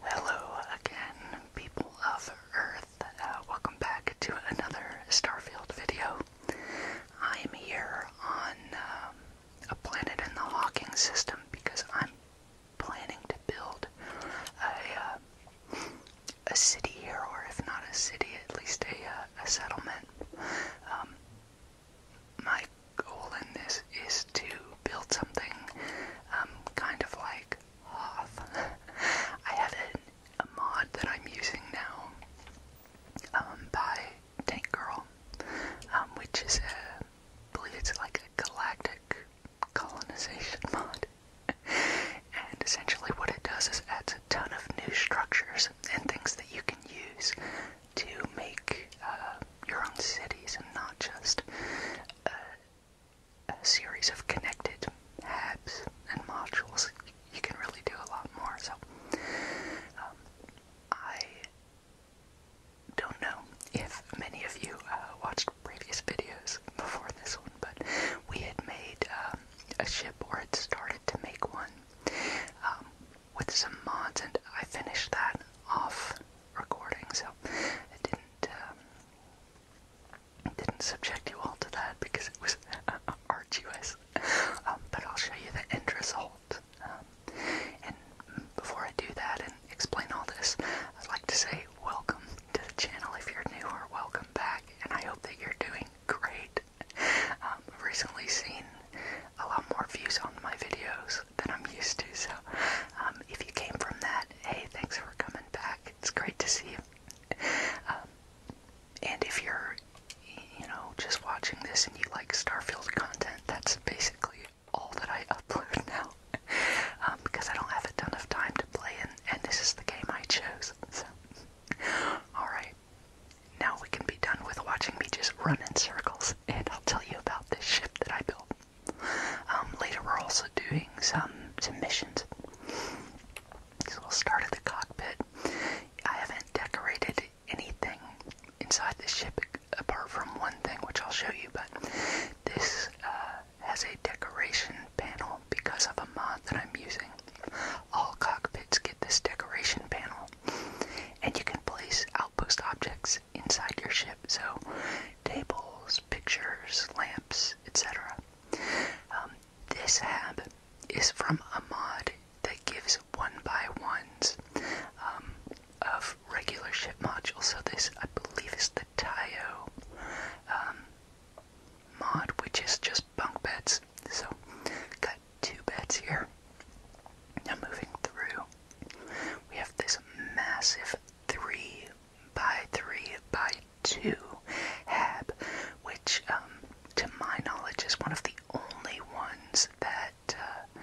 Hello again, people of Earth. Uh, welcome back to another Starfield video. I am here on um, a planet in the Hawking system because I'm planning to build a, uh, a city here, or if not a city, at least a, uh, a settlement. Um, my goal in this is to build something um, kind of like Hoth. I have a, mod that I'm using now um, by Tank Girl, um, which is a, I believe it's like a galactic colonization mod. and essentially, what it does is adds a ton of new structures and things that you can use to make uh, your own cities and not just a, series of connected habs and modules, you can really do a lot more. So, um, I don't know if many of you uh, watched previous videos before this one, but we had made um, a ship or had started to make one um, with some mods, and I finished that off recording, so it didn't and um, didn't subject you all to that because it was arduous. Um, but I'll show you the end result. Um, and before I do that and explain all this, I'd like to say welcome to the channel if you're new or welcome back, and I hope that you're doing great. recently seen a lot more views on my videos shows that I'm used to. So um, if you came from that, hey, thanks for coming back. It's great to see you. Um, and if you're, you know, just watching this and you like Starfield content, that's basically all that I upload now um, because I don't have a ton of time to play, and, and this is the game I chose. So, alright, now we can be done with watching me just run in circles, and I'll tell you about this ship that I built. Um, later we're also doing some, missions. So we'll start at the cockpit. I haven't decorated anything inside the ship apart from one thing, which I'll show you, but this uh, has a decoration panel because of a mod that I'm using. All cockpits get this decoration panel, and you can place outpost objects inside your ship, so tables, pictures, lamps, etc. Um, this hab is from a mod that gives one by ones um, of regular ship modules. So this, I believe, is the Tayo um, mod, which is just bunk beds. So got two beds here. Now moving through, we have this massive three by three by two hab, which, um, to my knowledge, is one of the only ones that uh,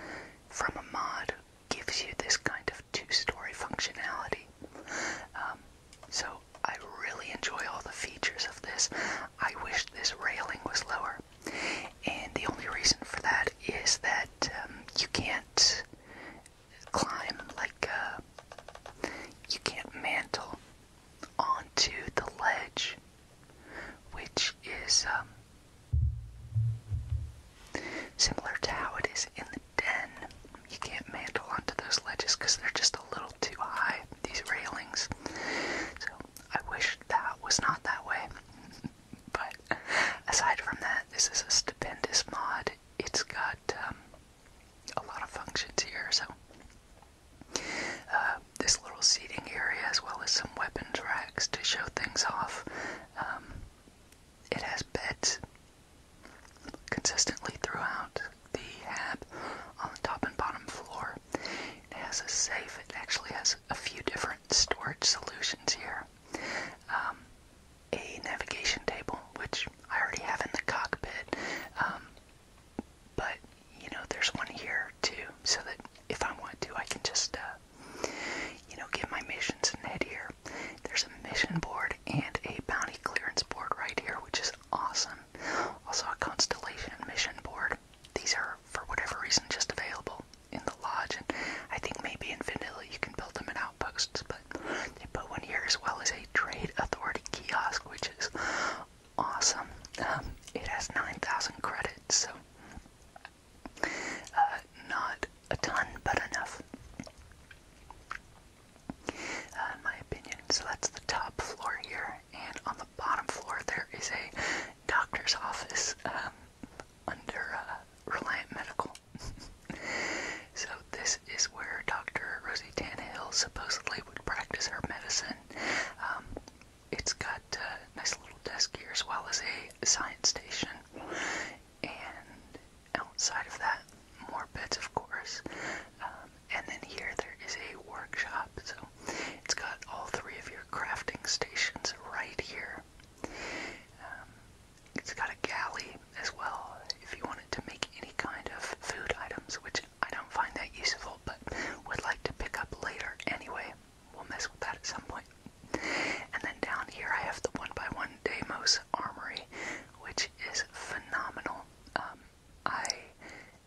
from a mod gives you this kind of two-story functionality. Um, so I really enjoy all the features of this. I wish this railing was lower. And the only reason for that is that um, you can't climb like uh, you can't mantle onto the ledge, which is um, similar to how it is in the den. You can't mantle onto those ledges because they're just a little too high, these railings. So I wish that was not that way. but aside from that, this is a stupendous mod. It's got um, a lot of functions here, so uh, this little seating area, as well as some weapons racks to show things off. Um, it has beds consistently throughout the hab on the top and bottom floor. It has a safe. It actually has a few different storage solutions here. Um, a navigation table, which I already have in the cockpit. Um, but you know, there's one here too, so that if I want to, I can just uh, you know get my missions and head here. There's a mission board and a bounty clearance board right here, which is awesome. Also a constellation mission board. These are for whatever reason just available in the lodge, and I think maybe in vanilla you can build them in outposts, but but they put one here as well as a trade authority kiosk, which is awesome. Um, it has 9,000 credits, so uh, not a ton, but enough. Uh, in my opinion, so that's the top floor here, and on the bottom floor there is a doctor's office um, under uh, Reliant Medical. so this is where Dr. Rosie Tannehill supposedly would practice her medicine. Um, it's got a nice little desk here as well as a science station. And outside of that, more beds, of course. Um, and then here there is a workshop. So it's got all three of your crafting stations right here. Um, it's got a galley as well if you wanted to make any kind of food items, which I don't find that useful, but would like to pick up later anyway. We'll mess with that at some point. And then down here I have the one by one Deimos Armory, which is phenomenal. Um, I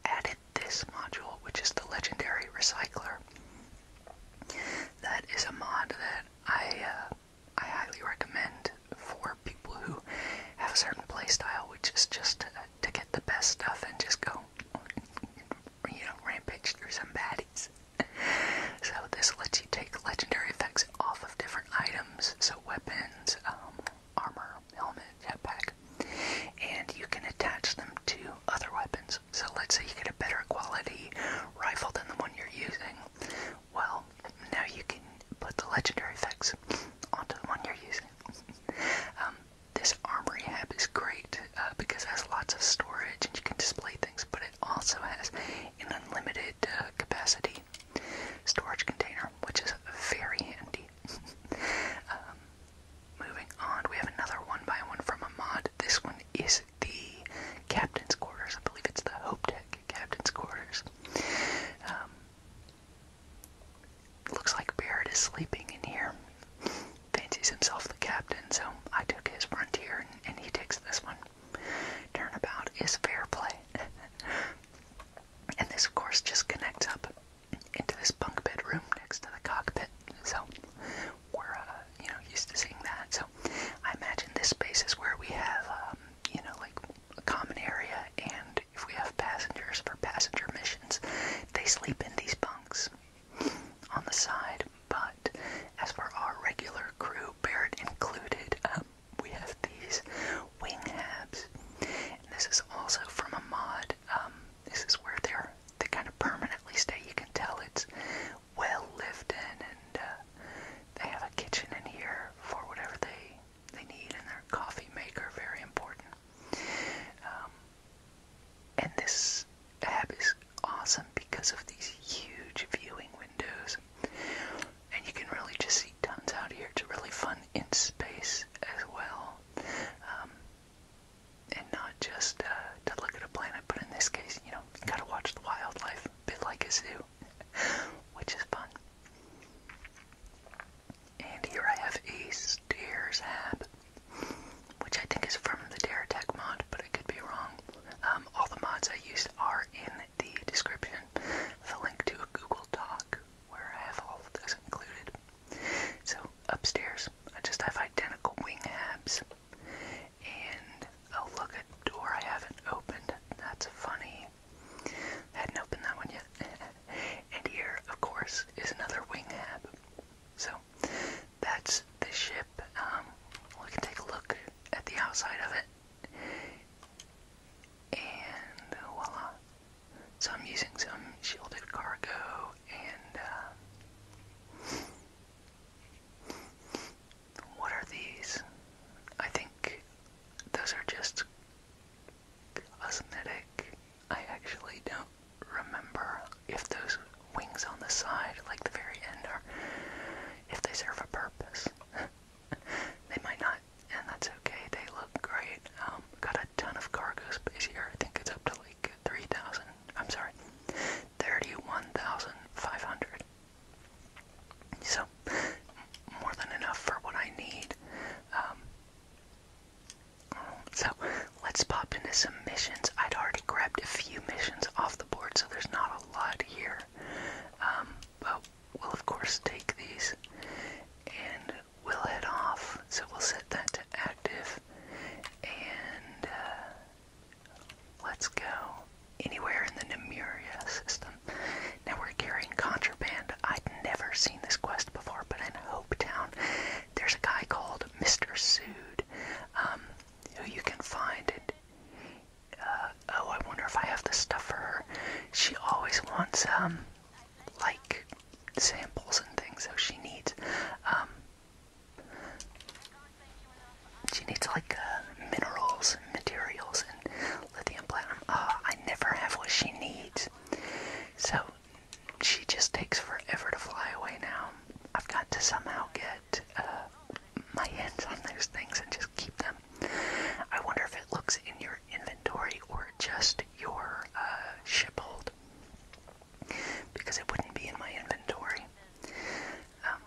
added this module, which is the Legendary Recycler. That is a mod that I uh, I highly recommend for people who have a certain playstyle, which is just uh, to, get the best stuff and just go, you know, rampage through some baddies. So this lets you take legendary effects off of different items, so weapons, um, armor, helmet, jetpack, and you can attach them to other weapons. So let's say you get a better quality rifle than the one you're using, well, now you can put the legendary effects onto the one you're using. Um, this armory hab is great uh, because it has lots of storage and you can display things, but it also has an unlimited uh, capacity storage container, which is very handy. Um, moving on, we have another one by one from a mod. This one is the captain's quarters. I believe it's the Hope Deck captain's quarters. Um, looks like Barrett is sleeping in here. Fancies himself the captain, so I took his frontier and, he takes this one. Turnabout is fair play. and this, of course, just connects up into this bunk bed room next to the cockpit. So we're, uh, you know, used to seeing that. So I imagine this space is where we have, um, you know, like a common area, and if we have passengers for passenger missions, they sleep in these bunks on the side. But as for our regular crew, Barrett included, um, we have these wing habs. And this is also from a mod. Um, this is where they're they kind of permanently stay. You can tell it's well lived in, and uh, they have a kitchen in here for whatever they they need, and their coffee maker very important. Um, and this app is awesome because of these huge viewing windows, and you can really just see tons out here. It's really fun in space as well. Um, and not just uh, to look at a planet, but in this case, you know, you gotta watch the wildlife, a bit like a zoo. which is fun. And here I have a stairs hat, which I think is from the Tech mod, but I could be wrong. Um, all the mods I used are in the description, the link to a Google Doc where I have all of those included. So upstairs, I just have identical wing abs. And oh look, a door I haven't opened. That's funny. I not opened that one yet. and here, of course, is another wing hab. So that's the ship. Um, we can take a look at the outside of it. And voila. So I'm using some shielded cargo and uh, what are these? I think those are just cosmetic. I actually don't remember if those wings on the side, like the very end, are if they serve a purpose. they might not, and that's okay. They look great. Um, got a ton of cargo space here. I think it's up to like 3,000. I'm sorry, 31,500. So, more than enough for what I need. Um, so, let's pop into some missions. I'd already grabbed a few missions off the board, so there's not a lot here. Um, but we'll, of course, take these and we'll head off. So, we'll set that to active. And uh, Let's go anywhere in the Nemuria system. Now we're carrying contraband. I'd never seen this quest before, but in Hope Town, there's a guy called Mr. Sood, um, who you can find. it. Uh, oh, I wonder if I have the stuff for her. She always wants, um, like samples and things so she needs. Um, she needs like uh, minerals and materials and lithium platinum. Ah, I never have what she needs. So she just takes forever to fly away now. I've got to somehow get uh, my hands on those things and just keep them. I wonder if it looks in your inventory or just your uh, ship hold. Because it wouldn't be in my inventory. Um,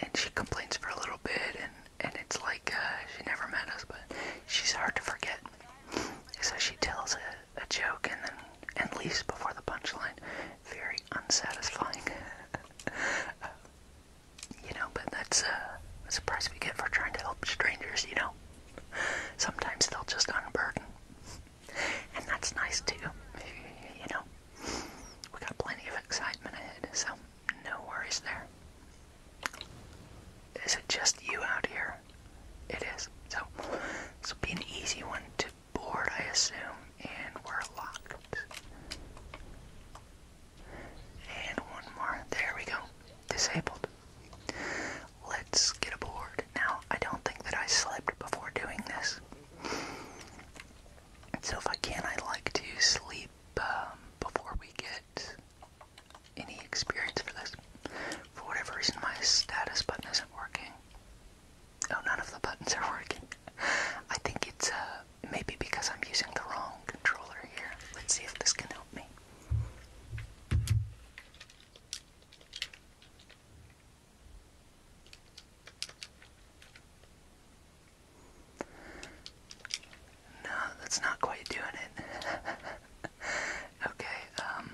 and she complains for a little bit, and and it's like uh, she never met us, but she's hard to forget. So she tells a, a joke and then and leaves before the punchline. Very unsatisfying, uh, you know. But that's uh, that's a price we get for trying to help strangers, you know. Sometimes they'll just unburden, and that's nice too, you know we got plenty of excitement ahead, so no worries there. Is it just you out here? It is. So this will be an easy one to board, I assume, and we're locked. And one more. There we go. Disabled. Let's get aboard. Now, I don't think that I slept before doing this so if I can, I like to sleep um, before we get any experience for this. For whatever reason, my status button isn't working. Oh, none of the buttons are working. I think it's uh, maybe because I'm using the wrong controller here. Let's see if this can help me. No, that's not quite doing it. okay, um.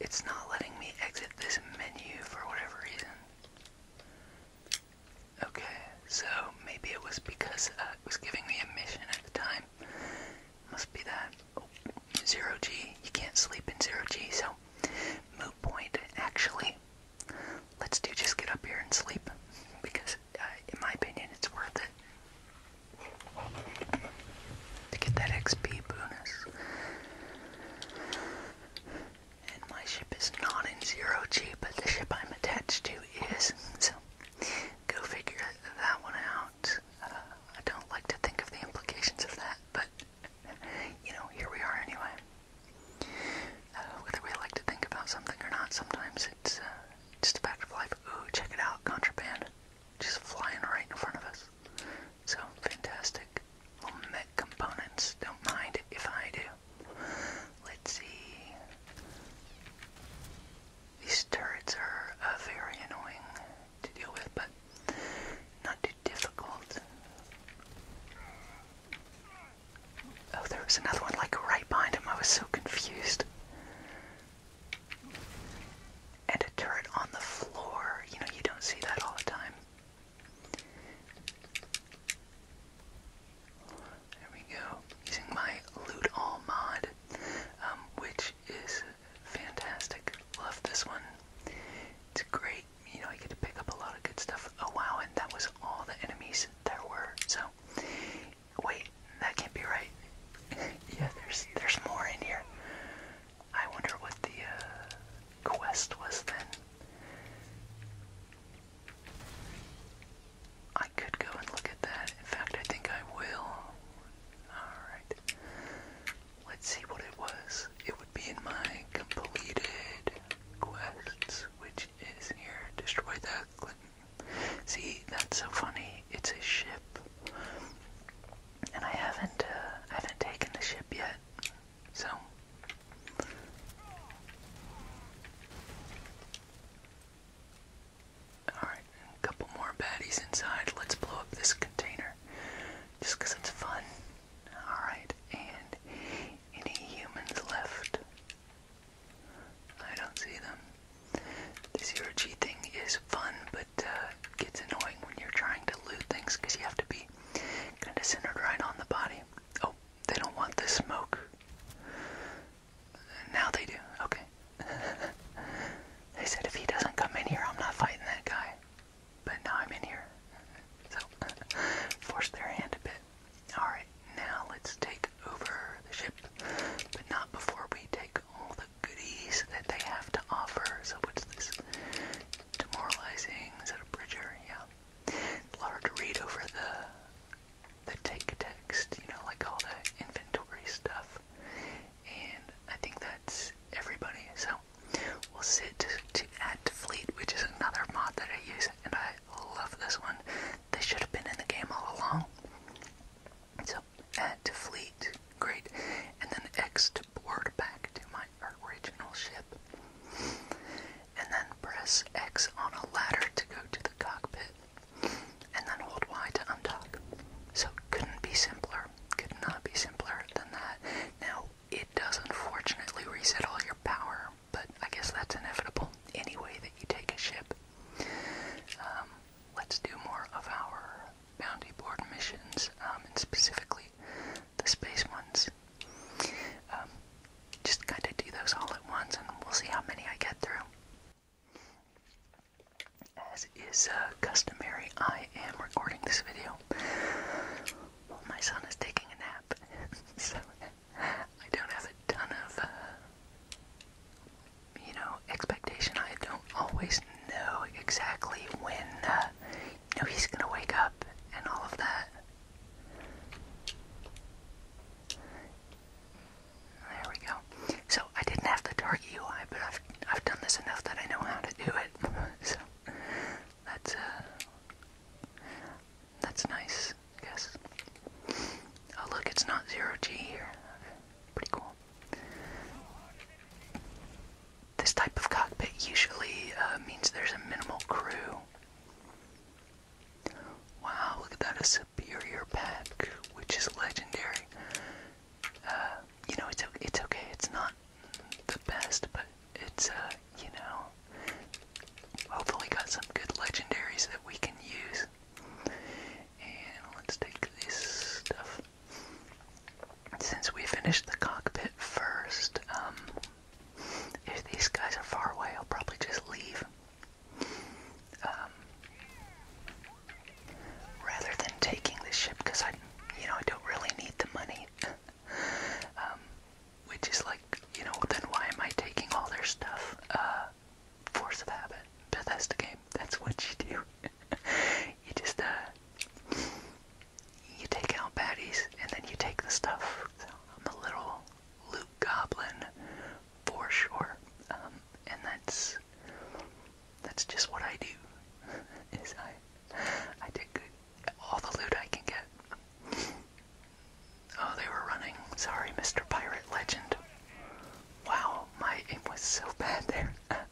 It's not letting me exit this menu for whatever reason. Okay, so maybe it was because uh, it was giving me a mission at the time. Must be that. Oh, zero G. You can't sleep in zero G, so moot point. Actually, let's do just get up here and sleep because, uh, in my opinion, it's worth it to get that XP bonus. And my ship is not in zero G, but the ship I'm attached to is. So go figure that one out. Uh, I don't like to think of the implications of that, but you know, here we are anyway. Uh, whether we like to think about something or not, sometimes it's uh, just a fact of life. Ooh, check it out, contraband. Just flying right in front of us. So fantastic. Little mech components. Don't mind if I do. Let's see. These turrets are uh, very annoying to deal with, but not too difficult. Oh, there was another one like right behind him. I was so confused. And a turret on the floor. You know, you don't see that all the time. There we go. Using my loot all mod, um, which is fantastic. Love this one. It's great. You know, I get to pick up a lot of good stuff. Oh wow, and that was all the enemies there were. So, wait, that can't be right. yeah, there's there's more in here. I wonder what the uh, quest was then. I could go and look at that. In fact, I think I will. Alright. Let's see what it was. It would be in my completed quests, which is here. Destroy that Clinton. See, that's so funny. It's a ship. And I haven't, uh, I haven't taken the ship yet. So, Alright, a couple more baddies inside. Let's blow up this container. Just because it's fun. Alright, and any humans left? I don't see them. The zero G thing is fun, but uh, gets annoying when you're trying to loot things you have to be kind of centered right on the body. Oh, they don't want this smoke. Now they do. Okay. they said if he doesn't come in here, I'm not fighting that guy. But now I'm in here. So, forced their hand a bit. Alright, now let's take over the ship. But not before we take all the goodies that they have to offer. So, what's this? Demoralizing. Is that a bridger? Yeah. Hard to read over the the take text, you know, like all the inventory stuff. And I think that's everybody. So we'll sit to, add to fleet, which is another mod that I use, and I love this one. They should have been in the game all along. So add to fleet, great. And then X to board back to my original ship and then press X on a ladder to go to the cockpit, and then hold Y to undock. So couldn't be simpler. Could not be simpler than that. Now, it does unfortunately reset all your power, but I guess that's inevitable any way that you take a ship. Um, let's do more of our bounty board missions, um, and specifically the space ones. Um, just kind of do those all at once and we'll see how many I get through. As is uh, customary, I am recording this video my son is taking a nap, so I don't have a ton of, uh, you know, expectation. I don't always know exactly when, uh, he's gonna wake up and all of that. There we go. So I didn't have to dark UI, but I've I've done this enough that I know how to do it. so that's uh, that's nice, guess. Oh look, it's not zero G here. Pretty cool. This type of cockpit usually uh, means there's a minimal crew. Wow, look at that, a superior pack, which is legendary. Uh, you know, it's, it's okay, it's not the best, but it's, uh, you know, hopefully got some good legendaries that we can use. And let's take this stuff. Since we finished the cockpit first, um, if these guys are far away, I'll probably just leave. Um, rather than taking this ship, because I, you know, I don't really need the money. um, which is like, you know, then why am I taking all their stuff? Uh, force of habit, Bethesda game. That's what you do. you just uh, you take out baddies and then you take the stuff. So I'm a little Luke Goblin for sure. Um, and that's that's just what I do. Is I I take all the loot I can get. Oh, they were running. Sorry, Mr. Pirate Legend. Wow, my aim was so bad there.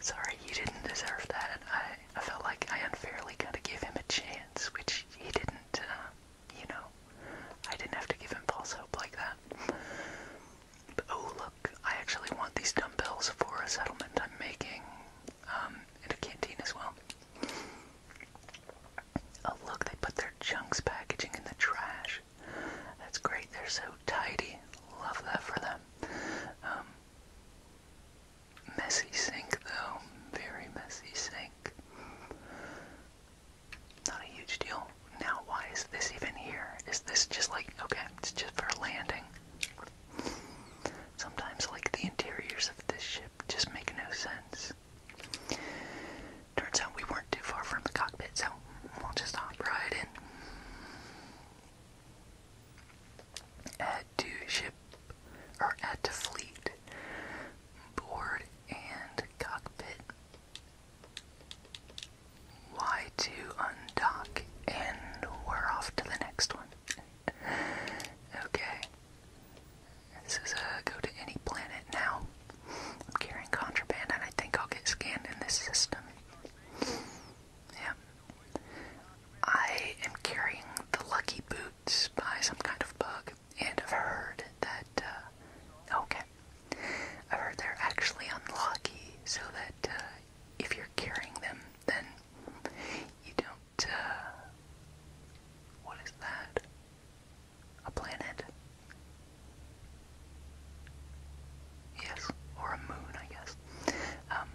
Sorry, you didn't deserve that. I, I felt like I unfairly kind of gave him a chance, which he didn't. Uh, you know, I didn't have to give him false hope like that. oh, look, I actually want these dumbbells for a settlement I'm making um, in a canteen as well. Oh, look, they put their chunks packaging in the trash. That's great. They're so tidy. Love that for them. Um, Messy sink though. Very messy sink. Not a huge deal. Now why is this even here? Is this just like, okay, it's just for landing. Sometimes like the interiors of this ship just make no sense. Turns out we weren't too far from the cockpit, so we'll just hop right in. Add to ship, or add to fleet board and cockpit. Y to undock, and we're off to the next one. okay. This is a go to any planet now. I'm carrying contraband, and I think I'll get scanned in this system. Yeah. I am carrying the Lucky Boots by some kind of bug and I've heard that, uh, okay, I've heard they're actually unlucky so that uh, if you're carrying them, then you don't, uh, what is that? A planet? Yes, or a moon, I guess. Um,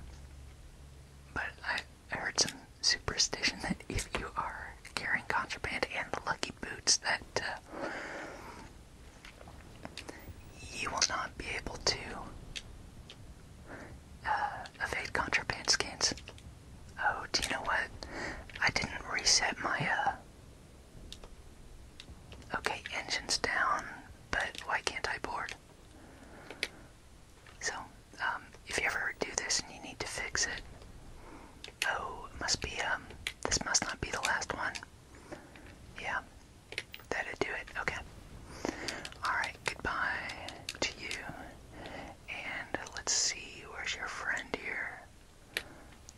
but I, I heard some superstition that if you are carrying contraband and the lucky boots, that uh, you will not be able to uh, evade contraband scans. Oh, do you know what? I didn't reset my, uh, Okay, engine's down, but why can't I board? So, um, if you ever do this and you need to fix it, oh, it must be, um, this must not be the last one. Yeah, that'd do it. Okay. Alright, goodbye to you. And let's see, where's your friend here?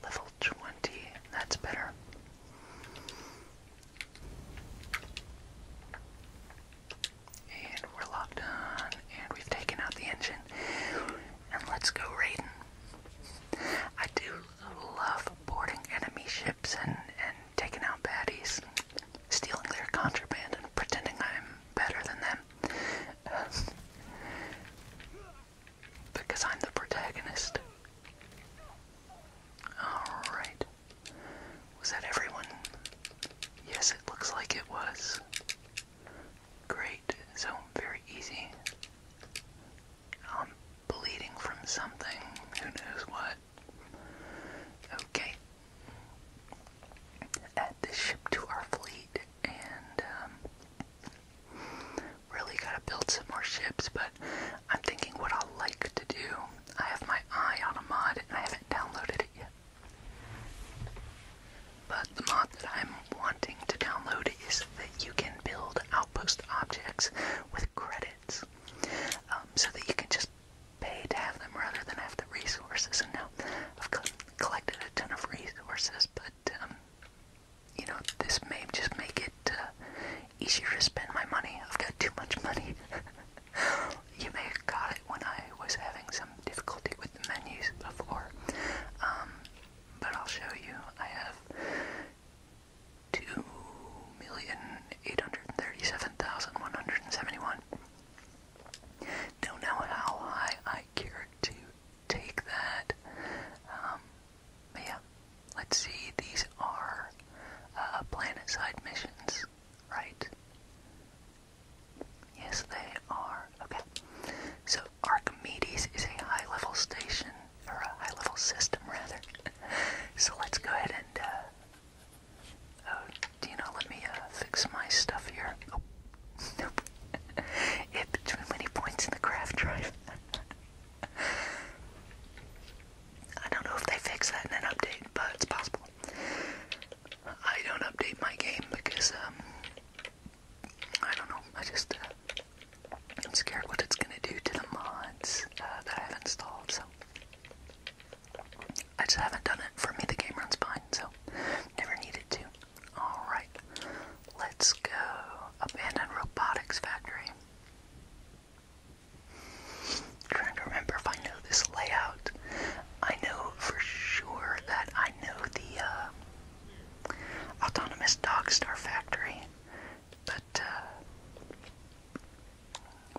Level 20, that's better. And we're locked on, and we've taken out the engine. And let's go raiding. I do love boarding enemy ships and, and taking out baddies, stealing their contraband, and pretending I'm better than them. because I'm the protagonist. Alright. Was that everyone? Yes, it looks like it was. Great, so very easy. I'm bleeding from something, who knows what. Okay. Add this ship to our fleet, and um, really gotta build some more ships, but I'm thinking what I'll like to do. I have my eye on a mod, and I haven't downloaded it yet. But the mod that I'm wanting to download is that you can build outpost objects with credits um, so that you can just pay to have them rather than have the resources. And now I've collected a ton of resources, but um, you know, this may just make it uh, easier to spend my money. I've got too much money. you may have got it when I was having some difficulty with the menus before, um, but I'll show you. I have 2,837,171. Don't know how high I care to take that. Um, but yeah, let's see. These are uh, planet side missions, right? Yes, they are. Okay. So Archimedes is a high-level station, or a high-level system, rather. so let's go ahead and, uh, oh, you know, let me, uh, fix my stuff here. Oh, nope. it between many points in the craft drive. I don't know if they fix that in an update, but it's possible. I don't update my game because, um, I don't know. I just am uh, scared what it's gonna do to the mods uh, that I've installed. So I just haven't done it. For me, the game runs fine, so never needed to. All right, let's go. Abandoned robotics factory. trying to remember if I know this layout. I know for sure that I know the uh, autonomous dog star factory, but uh,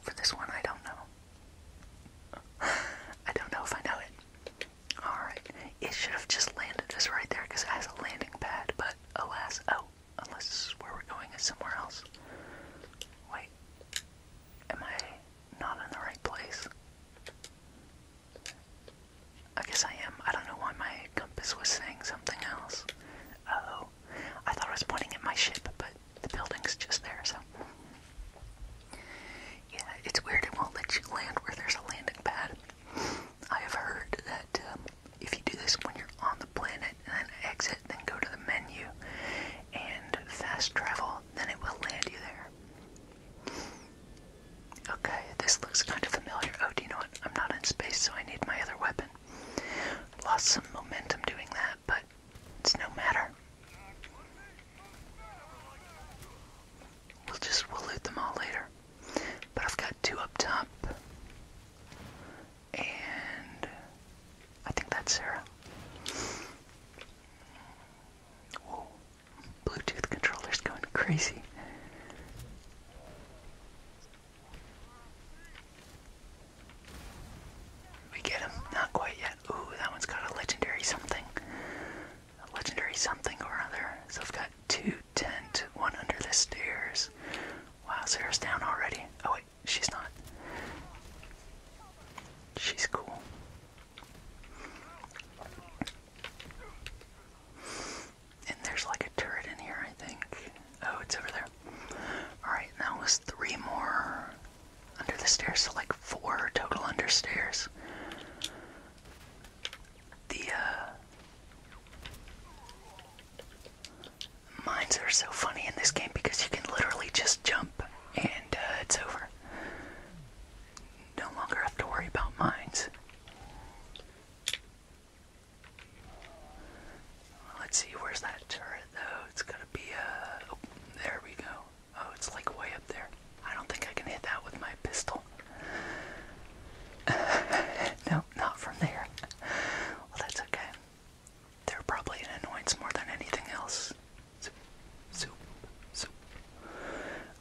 for this one, I don't know. I don't know if I know it. Alright, it should have just landed us right there because it has a landing pad, but alas, oh, unless where we're going is somewhere else. Wait, am I not in the right place. I guess I am. I don't know why my compass was saying something else. oh I thought I was pointing at my ship, but the building's just there, so. Yeah, it's weird it won't let you land where there's a landing pad. I have heard that um, if you do this when you're on the planet and then exit, then go to the menu and fast travel, then it will land you there. Okay, this looks kind of familiar. Oh, do you know what? I'm not in space, so I need my other weapon. Lost some momentum doing that, but it's no matter. We'll just, we'll loot them all later. But I've got two up top. And I think that's Sarah. Bluetooth controller's going crazy. We get him? Not quite yet. Ooh, that one's got a legendary something. A legendary something or other. So I've got two tent, one under the stairs. Wow, Sarah's down already. Oh wait, she's not. She's cool. And there's like a turret in here, I think. Oh, it's over there. Alright, now was three more under the stairs, so like four total under stairs. The, uh, Mines are so funny in this game because you can literally just jump and uh, it's over no longer have to worry about mines. Let's see, where's that turret though? It's gonna be uh oh, there we go. Oh, it's like way up there. I don't think I can hit that with my pistol. no, not from there. Well, that's okay. They're probably an annoyance more than anything else soup, soup, soup.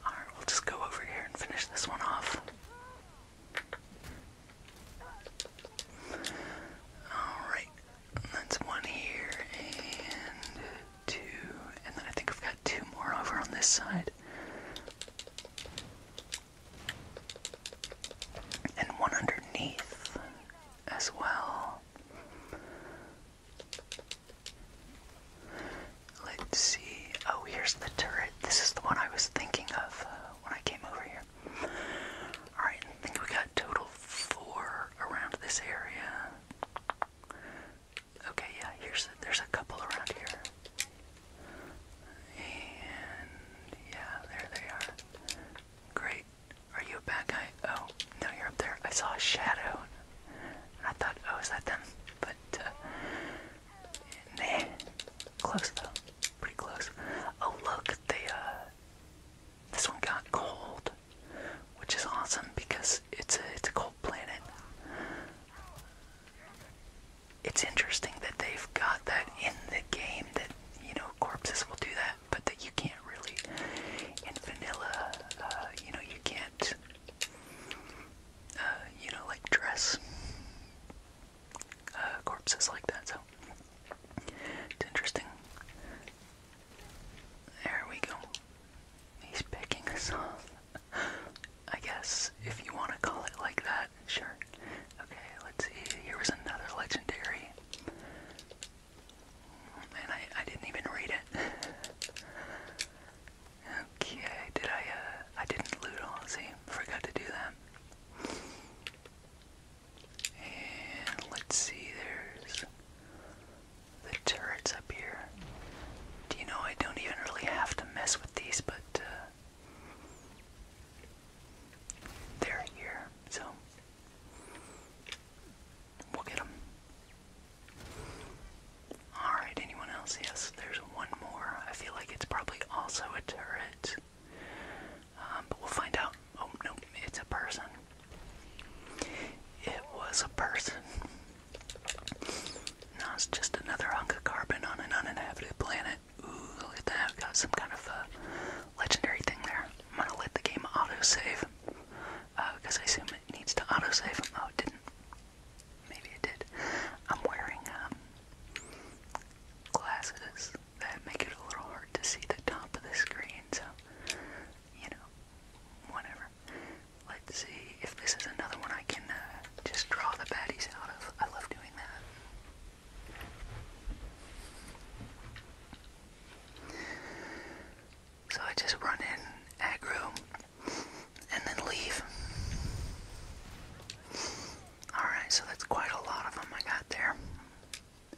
Alright, we'll just go over here and finish this one off. Alright, that's one here and two, and then I think I've got two more over on this side. And one underneath as well. Let's see. Oh, here's the turret. This is the one I was thinking of uh, when I came over here. Alright, I think we got total four around this area. Okay, yeah, here's there's a couple around here. And yeah, there they are. Great. Are you a bad guy? Oh, no, you're up there. I saw a shadow. I thought, oh, is that them? But, uh, nah. Close, though. Pretty close. Oh, look, they, uh, this one got cold, which is awesome because it's a, it's a cold planet. It's interesting that they've got that in the game that, you know, corpses will do that, but that you can't really, in vanilla, uh, you know, you can't uh, you know, like dress uh, corpses like that, so it's interesting. There we go. He's picking us off. I guess if you want to call it like that, sure. Okay, let's see. Here was another legendary. And I didn't even read it. Okay, did I, uh, I didn't loot all, the same. Forgot to do that. And let's see, there's the turrets up here. Do you know I don't even really have to mess with these, but, uh, they're here, so. We'll get them. Alright, anyone else? Yes, there's one more. I feel like it's probably also a turret. Um, but we'll find out. Oh, no, it's a person. It was a person. No, it's just another hunk of carbon on an uninhabited planet. Ooh, look at that. Got some kind of uh, legendary thing there. I'm gonna let the game autosave. Because uh, I assume it needs to autosave. Oh, didn't. Maybe it did. I'm wearing um, glasses that make it a little hard to see the top of the screen, so, you know, whatever. Let's see if this is another one I can uh, just draw the baddies out of. I love doing that. So I just run in aggro and then leave. Alright, so that's quite a lot of them I got there.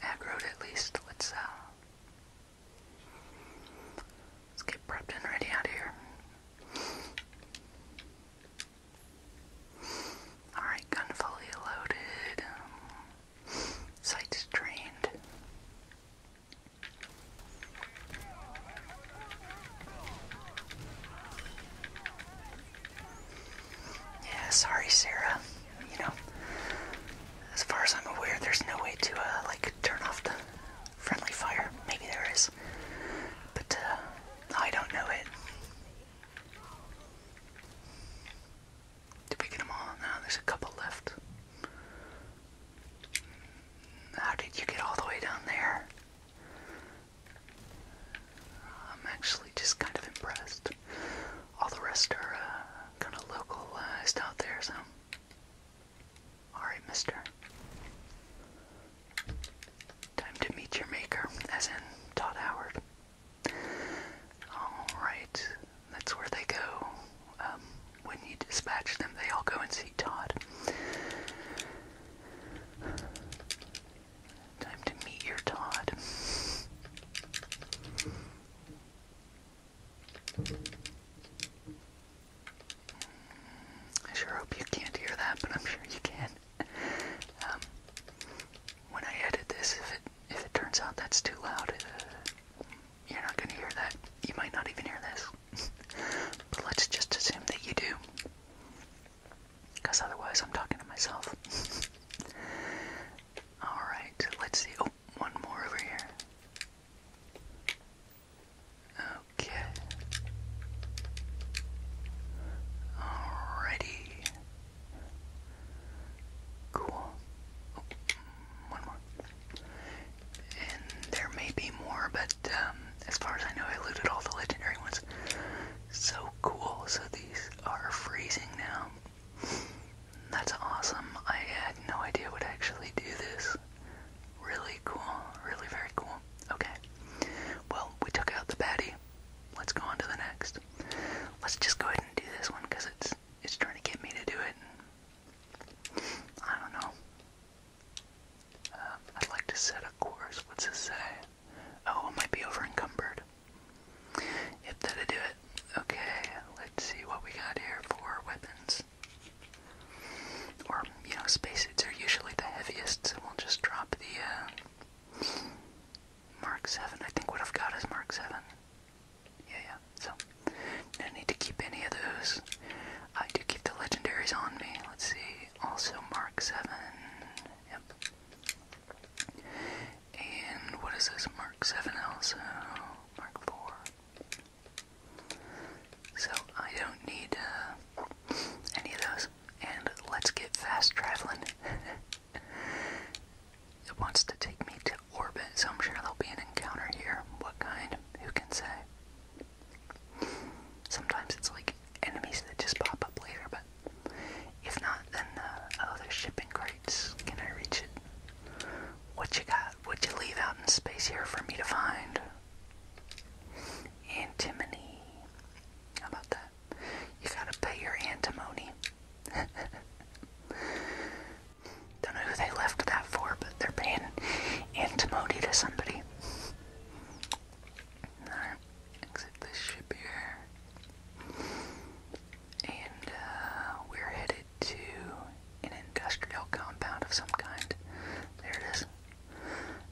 Aggroed at least. Let's uh let's get prepped and ready out of here. Alright, gun fully loaded. sights trained. Yeah, sorry, Sarah. You know, as far as I'm aware, there's no way to, uh, like, turn off the friendly fire. Maybe there is. But, uh, I don't know it. Did we get them all? No, there's a couple left. How did you get all the way down there? I'm actually just kind of impressed. All the rest are uh, kind of localized out there, so. Alright, mister. Time to meet your maker, as in Todd Howard. Alright, that's where they go. Um, when you dispatch them, they all go and see Todd. Time to meet your Todd. I sure hope you can't hear that, but I'm sure you can. Um, when I edit this, if it if it turns out that's too loud, uh, you're not going to hear that. You might not even hear this. but let's just assume that you do. Because otherwise, I'm talking to myself. Alright, let's see. Oh, one more over here. Okay. Alrighty. Cool. Oh, one more. And there may be more, but um, as far as I know, I looted all the legendary ones. So cool. So these are freezing now. That's awesome. I had no idea would actually do this. Really cool. Really very cool. Okay. Well, we took out the baddie. Let's go on to the next. Let's just go ahead and do this one because it's it's trying to get me to do it. I don't know. Um, I'd like to set a course. What's this say? Oh, it might be overencumbered. Yep, that'll do it. Okay, let's see what we got here for weapons. Or, you know, spacesuits are usually the heaviest, so we'll just drop the uh, Mark 7. I think what I've got is Mark 7. Yeah, yeah, so no need to keep any of those. I do keep the legendaries on me. Let's see. Also Mark 7. Yep. And what is this? Mark 7 also. Mark 4. So I don't need uh, any of those. And let's get fast traveling. it wants to take me to orbit, so I'm sure there'll be an encounter here. What kind? Who can say? Sometimes it's like enemies that just pop up later, but if not, then the other shipping crates. Can I reach it? What you got? What you leave out in space here for me to find? Antimony. How about that? You gotta pay your antimony. Don't know who they left that for, but they're paying Antimody to somebody. Alright, exit this ship here. And uh, we're headed to an industrial compound of some kind. There it is.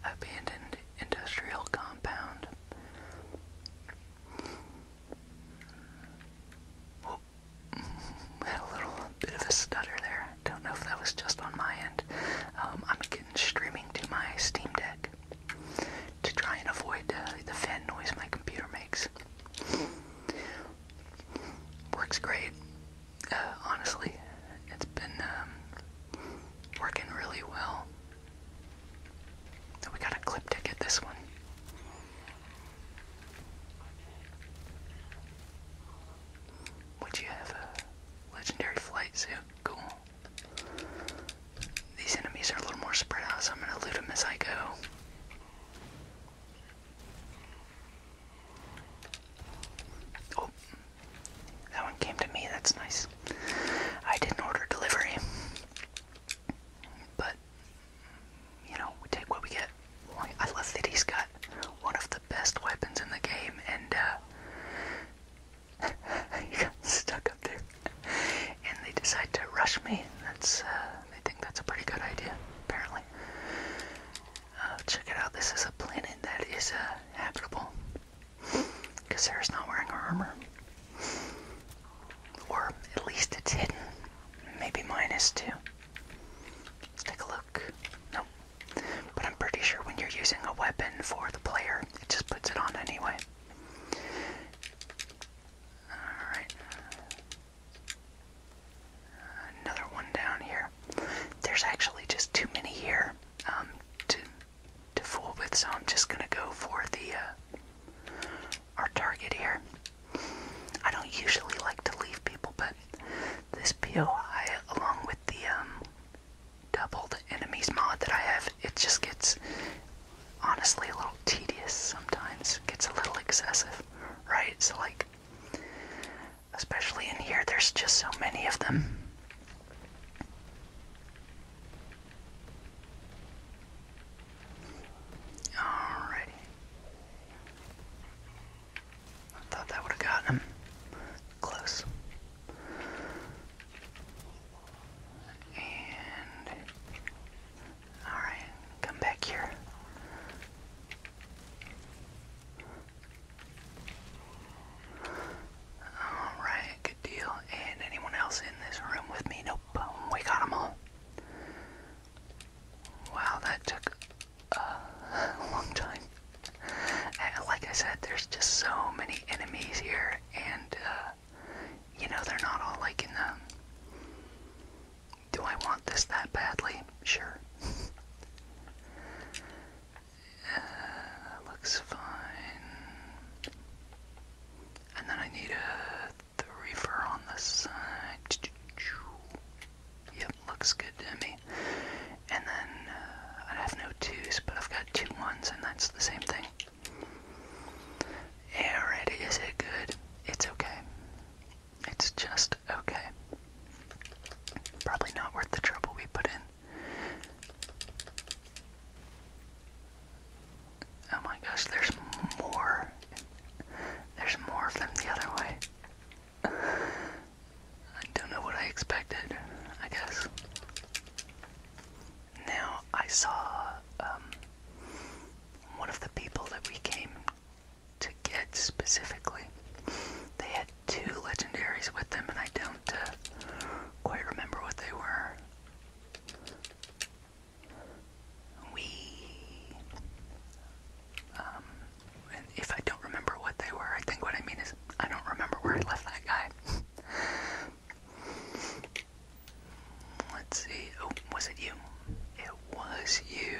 Abandoned industrial compound. Whoop. Had a little bit of a stutter there. Don't know if that was just on my end. Um, I'm getting streaming to my Steam Deck to try and avoid the fan noise my computer makes. Works great. Uh, honestly, it's been um, working really well. We got a clip ticket this one. Would you have legendary flight Cool. These enemies are a little more spread out, I'm gonna loot them as I go. Oh, that one came to me, that's nice. I didn't order delivery, but you know, we take what we get. I love that he's got one of the best weapons in the game, and uh, he got stuck up there. And they decide to rush me. That's uh, they think that's a pretty good idea, apparently. Uh, check it out. This is a planet that is habitable. Because Sarah's not wearing armor, or at least it's hidden. Maybe minus Let's take a look. Nope, but I'm pretty sure when you're using a weapon for the player, it just puts it on anyway. Alright. Another one down here. There's actually just too many here um, to, to fool with, so I'm just gonna go for the uh, our target here. I don't usually like to leave people, but this POI, along with the um, enemies mod that I have, it just gets honestly a little tedious sometimes. gets a little excessive, right? So like, especially in here, there's just so many of them. Alrighty. I thought that would have gotten him. Close. And. Alright, come back here. Alright, good deal. And anyone else in this room with me? Nope, we got them all. Wow, that took a long time. like I said, there's just so many enemies here, and uh, you know they're not all like in the. Do I want this that badly? Sure. Uh, looks fine. And then I need a the on the side. Yep, looks good to me. And then uh, I have no twos, but I've got two ones, and that's the same thing. Alright, is it good? It's okay. It's just okay. Probably not worth the trouble we put in. Oh my gosh, there's more. There's more of them the other way. I don't know what I expected, I guess. Now, I saw um, one of the people that we came to get specifically. They had two legendaries with them, and I don't uh, quite remember what they were. We um, and if I don't remember what they were, I think what I mean is I don't remember where I left that guy. Let's see. Oh, was it you? It was you.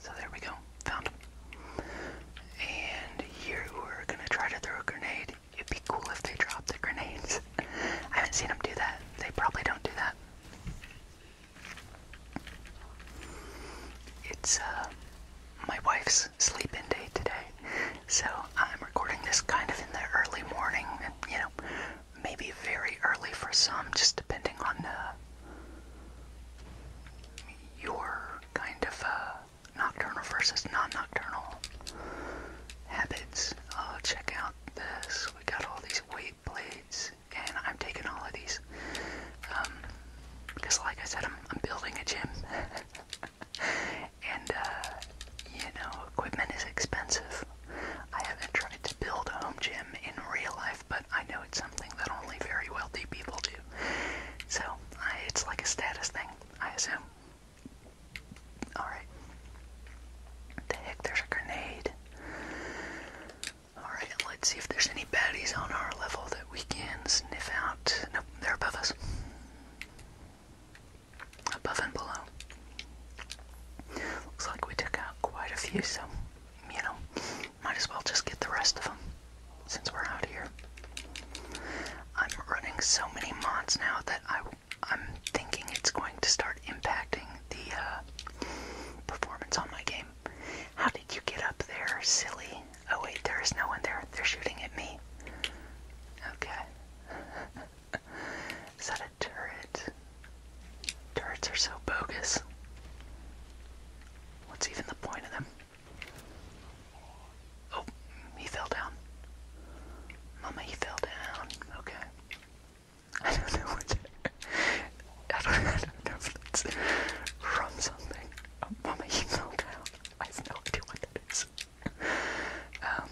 So there we go. Found him. And here we gonna try to throw a grenade. It'd be cool if they dropped the grenades. I haven't seen them do that. They probably don't do that. It's uh, my wife's sleeping day today, so I'm recording this kind of in the early morning, and you know, maybe very early for some, just depending on uh, your kind of uh, nocturnal versus non-nocturnal habits. Uh, check out this. We got all these weight plates and I'm taking all of these. because um, like I said, I'm, building a gym. and, uh, you know, equipment is expensive. I haven't tried to build a home gym in real life, but I know it's something that only very wealthy people do. So, I, it's like a status thing, I assume. Alright. The heck, there's a grenade. Alright, let's see if there's any baddies on our level that we can sniff out. Nope, they're above us. Above and below. Looks like we took out quite a few, so, you know, might as well just get the rest of them since we're out here. I'm running so many mods now that I, am thinking it's going to start impacting the uh, performance on my game. How did you get up there, silly? Oh wait, there is no one there. They're shooting at me. Okay. is that a turret? Turrets are so bogus. What's even the point of them? Oh, he fell down. Mama, he fell down. Okay. I don't know what. Netherlands from something. Oh, Mama, you melted I have no idea what that is. Um.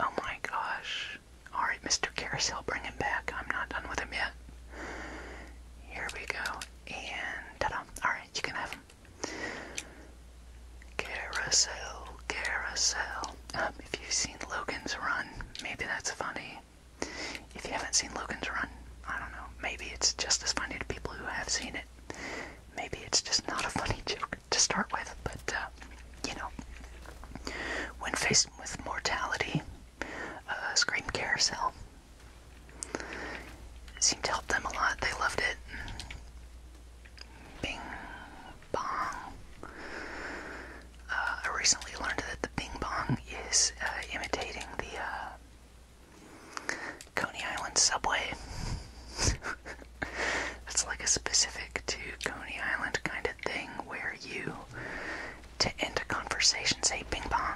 Oh my gosh. Alright, Mr. Carousel, bring him back. I'm not done with him yet. Here we go. And Alright, you can have him. Carousel, carousel. Um, if you've seen Logan's Run, maybe that's funny. If you haven't seen Logan's Run, I don't know. Maybe it's just as funny to people who have seen it. Maybe it's just not a funny joke to start with, but uh, you know. When faced with mortality, Scream Carousel seemed to help them a lot. They loved it. Bing, bong. Uh, I recently learned that the bing bong is uh, imitating the uh, Coney Island subway. It's like a specific to Coney Island kind of thing where you, to end a conversation, say bing bong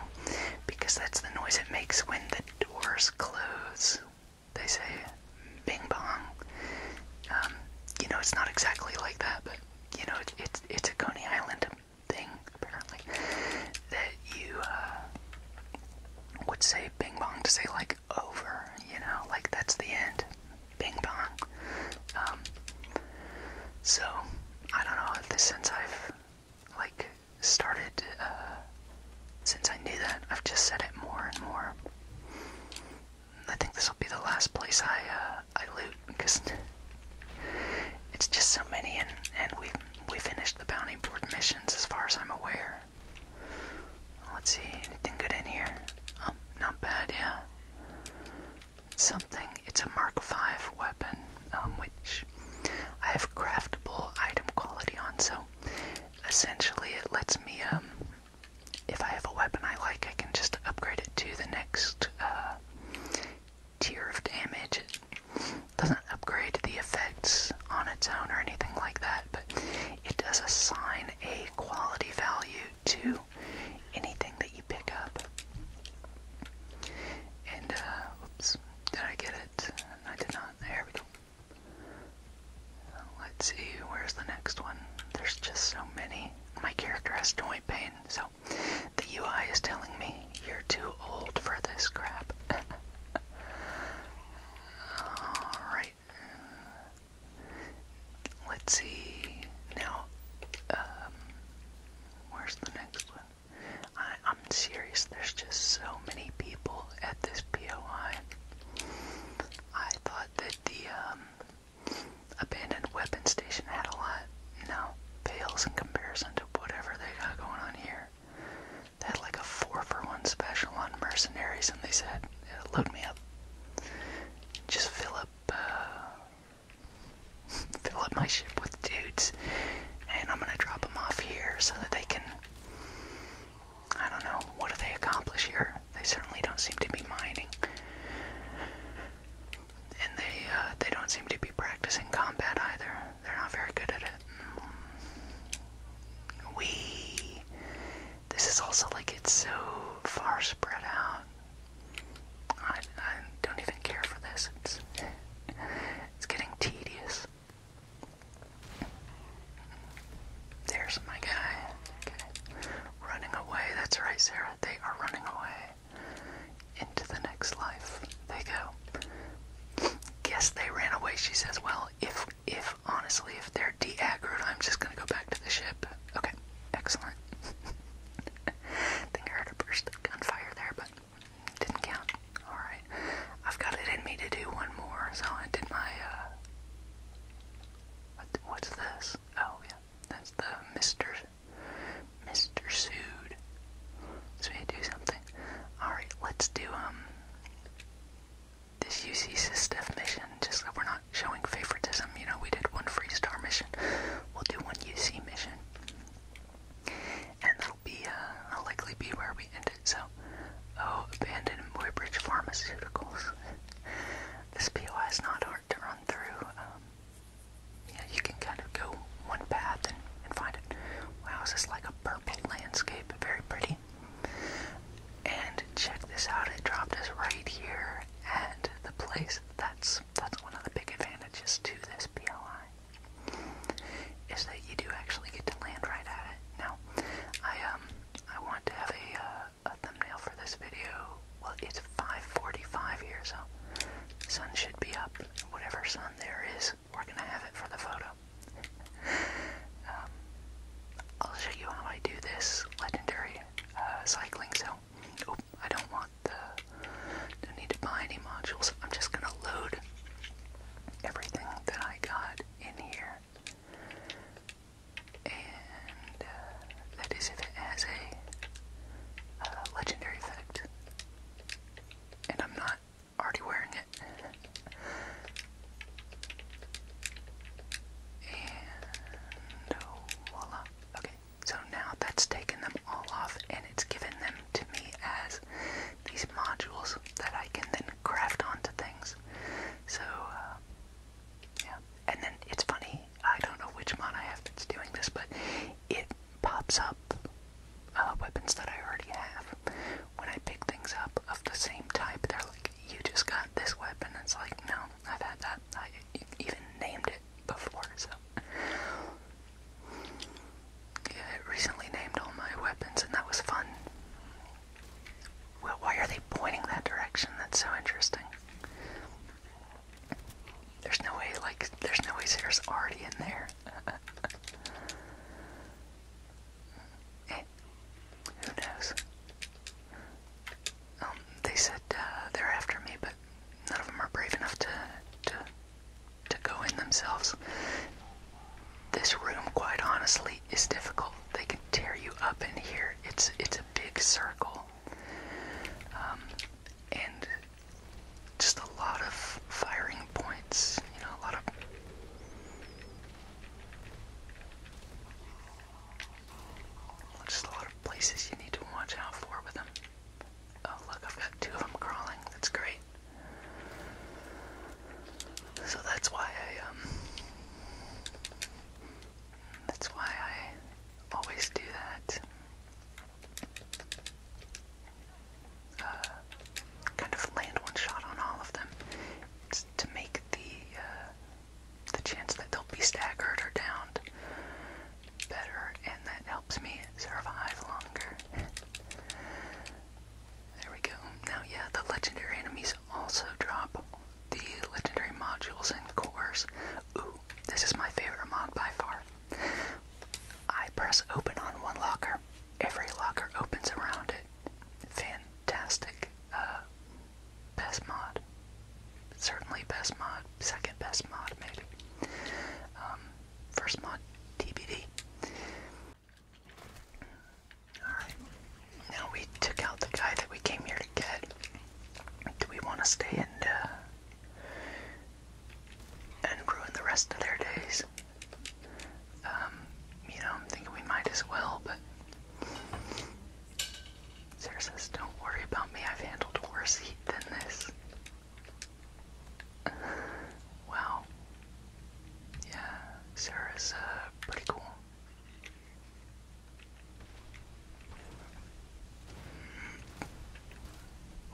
because that's the noise it makes when the doors close. They say bing bong. Um, you know, it's not exactly like that, but you know, it's it's, a Coney Island thing apparently that you uh, would say ping pong to say like over, you know, like that's the end, ping pong. Um, so I don't know. This since I've like started, uh, since I knew that, I've just said it more and more. I think this will be the last place I uh, I loot because it's just so many, and and we we finished the bounty board missions as far as I'm aware. Let's see, anything good in here? Oh, not bad, yeah. Something. It's a Mark V weapon, um, which I have craftable item quality on, so essentially it lets me um, if I have a weapon I like, I can just upgrade it to the next uh, tier of damage. It doesn't upgrade the effects on its own or anything like that, but it does assign a quality value to anything that you pick up. And, uh, oops, did I get it? I did not. There we go. Let's see, where's the next one? There's just so many. My character has joint pain. So, the UI is telling me you're too old for this crap. Alright. Let's see. Now, um, where's the next one? I, am serious, there's just so many people at this POI. I thought that the, um, abandoned weapon station had a lot. No, pales in comparison to whatever they got going on here. They had like a four for one special on mercenaries, and they said, "Load me up, just fill up, uh, fill up my ship with dudes, and I'm gonna drop them off here so that they can." I don't know. What do they accomplish here? They certainly don't seem to be mining and they uh, they don't seem to be practicing combat either. They're not very good at it. We. This is also like it's so far spread out. I, I don't even care for this. It's, it's getting tedious. There's my guy. Running away. That's right, Sarah they are running away into the next life. They go. Guess they ran away. She says, "Well, if if honestly, if they're de-aggroed, I'm just gonna go back to the ship." Okay, excellent. think I heard a burst of gunfire there, but didn't count. All right, I've got it in me to do one more, so I did my. Uh, what's this? Oh yeah, that's the Mister Mr. Sued, So we do something. Alright, let's do, um, this UC SysDef mission, just we're not showing favoritism, you know, we did one free star mission, we'll do one UC mission. And that'll be, uh, likely be where we end it, so, oh, abandoned Muybridge Pharmaceuticals. this PO not hard to run through, um, yeah, you can kind of go one path and, and find it. Wow, is this like a purple landscape? Very pretty. And check this out, it dropped us right here at the place. That's that's one of the big advantages to this PLI. Is that you do actually get to land right at it. Now, I um I want to have a uh, a thumbnail for this video. Well, it's 5:45 here, so sun should be up. Whatever sun there is, we're gonna have it for the photo. Um, I'll show you how I do this legendary uh, cycling. So, I don't want the, don't need to buy any modules. I'm just gonna load everything that I got in here and uh, that is if it has a uh, legendary effect. And I'm not already wearing it. and oh, voila. Okay, so now that's taken them all off and it's given them to me as these modules that I can then craft onto things. So, uh, yeah. And then it's funny I don't know which mod I have that's doing this, but it pops up uh, weapons that I already have. When I pick things up of the same type, they're like, you just got this weapon. It's like, no, I've had that. I even named it before, so. Yeah, I recently named all my weapons, and that was fun. Well, why are they pointing that direction? That's so interesting. There's no way, like, there's no way Sarah's already in there. Eh, who knows? Um, they said uh, they're after me, but none of them are brave enough to to go in themselves. This room, quite honestly, is difficult. They can tear you up in here. It's it's a big circle. Um, and just a lot of firing points, you know, a lot of just a lot of places you need to watch out for with them. Oh look, I've got two of them crawling. That's great. So that's why I um that's why I always do that. Uh, kind of land one shot on all of them to make the uh, the chance that they'll be staggered or downed better, and that helps me survive longer. there we go. Now, yeah, the legendary enemies also drop the legendary modules and cores Ooh, this is my favorite mod by far. I press open on one locker. Every locker opens around it. Fantastic. Uh, best mod. Certainly best mod. Second best mod, maybe. Um, first mod, TBD. Alright. Now we took out the guy that we came here to get. Do we want to stay and uh, and ruin the rest of their days. Um, you know, I'm thinking we might as well, but Sarah says, Don't worry about me, I've handled worse heat than this. wow. Yeah, Sarah's uh, pretty cool.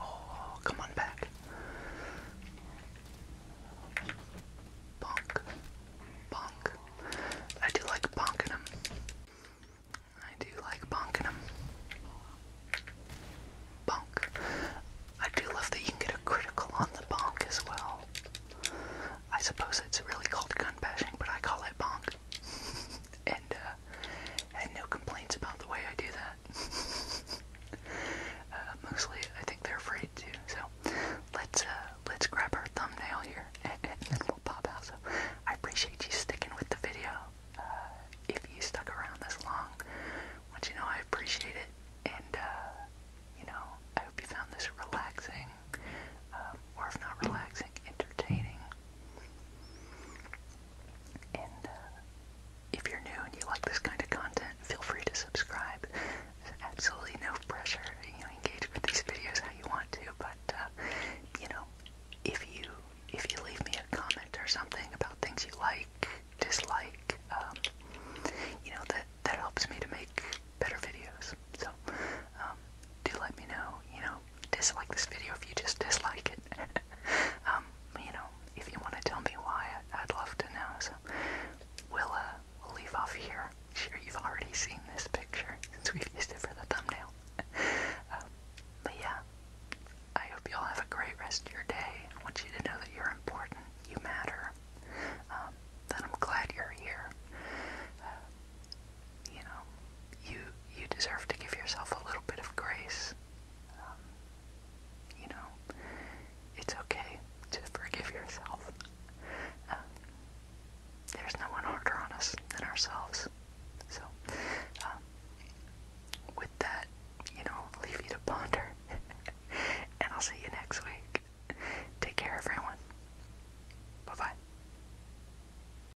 Oh, come on back. Bonk. Bonk. I do like bonking him. I do like bonking him. Bonk. I do love that you can get a critical on the bonk as well. I suppose it's really called gun bashing, but I call it bonk. and uh, had no complaints about the way I do that. Uh, mostly, I think they're afraid to. So let's uh, let's grab our thumbnail here, and, then we'll pop out. So I appreciate you sticking with the video. Uh, if you stuck around this long, want you know I appreciate it, and you know I hope you found this relaxing, um, not relaxing, entertaining, and uh, if you're new and you like this kind of content, feel free to subscribe. There's absolutely no pressure. You know, engage with these videos how you want to, but uh, you know, if you if you leave me a comment or something about things you like, dislike, um, you know that that helps me to make better videos. So um, do let me know, you know, dislike this video if you just dislike it. Um, you know, if you want to tell me why, I'd love to know. So we'll, uh, we'll leave off here. sure you've already seen this picture since we used it for the thumbnail. Um, but yeah, I hope you all have a great rest of your day. want you to know that you're important, you matter, that I'm glad you're here. Uh, you know, you you deserve to give yourself a little bit of grace. Um, you know, it's okay to forgive yourself. Um, there's no one harder on us than ourselves. So, um, with that, you know, leave you to ponder, and I'll see you next week. Take care, everyone. Bye bye.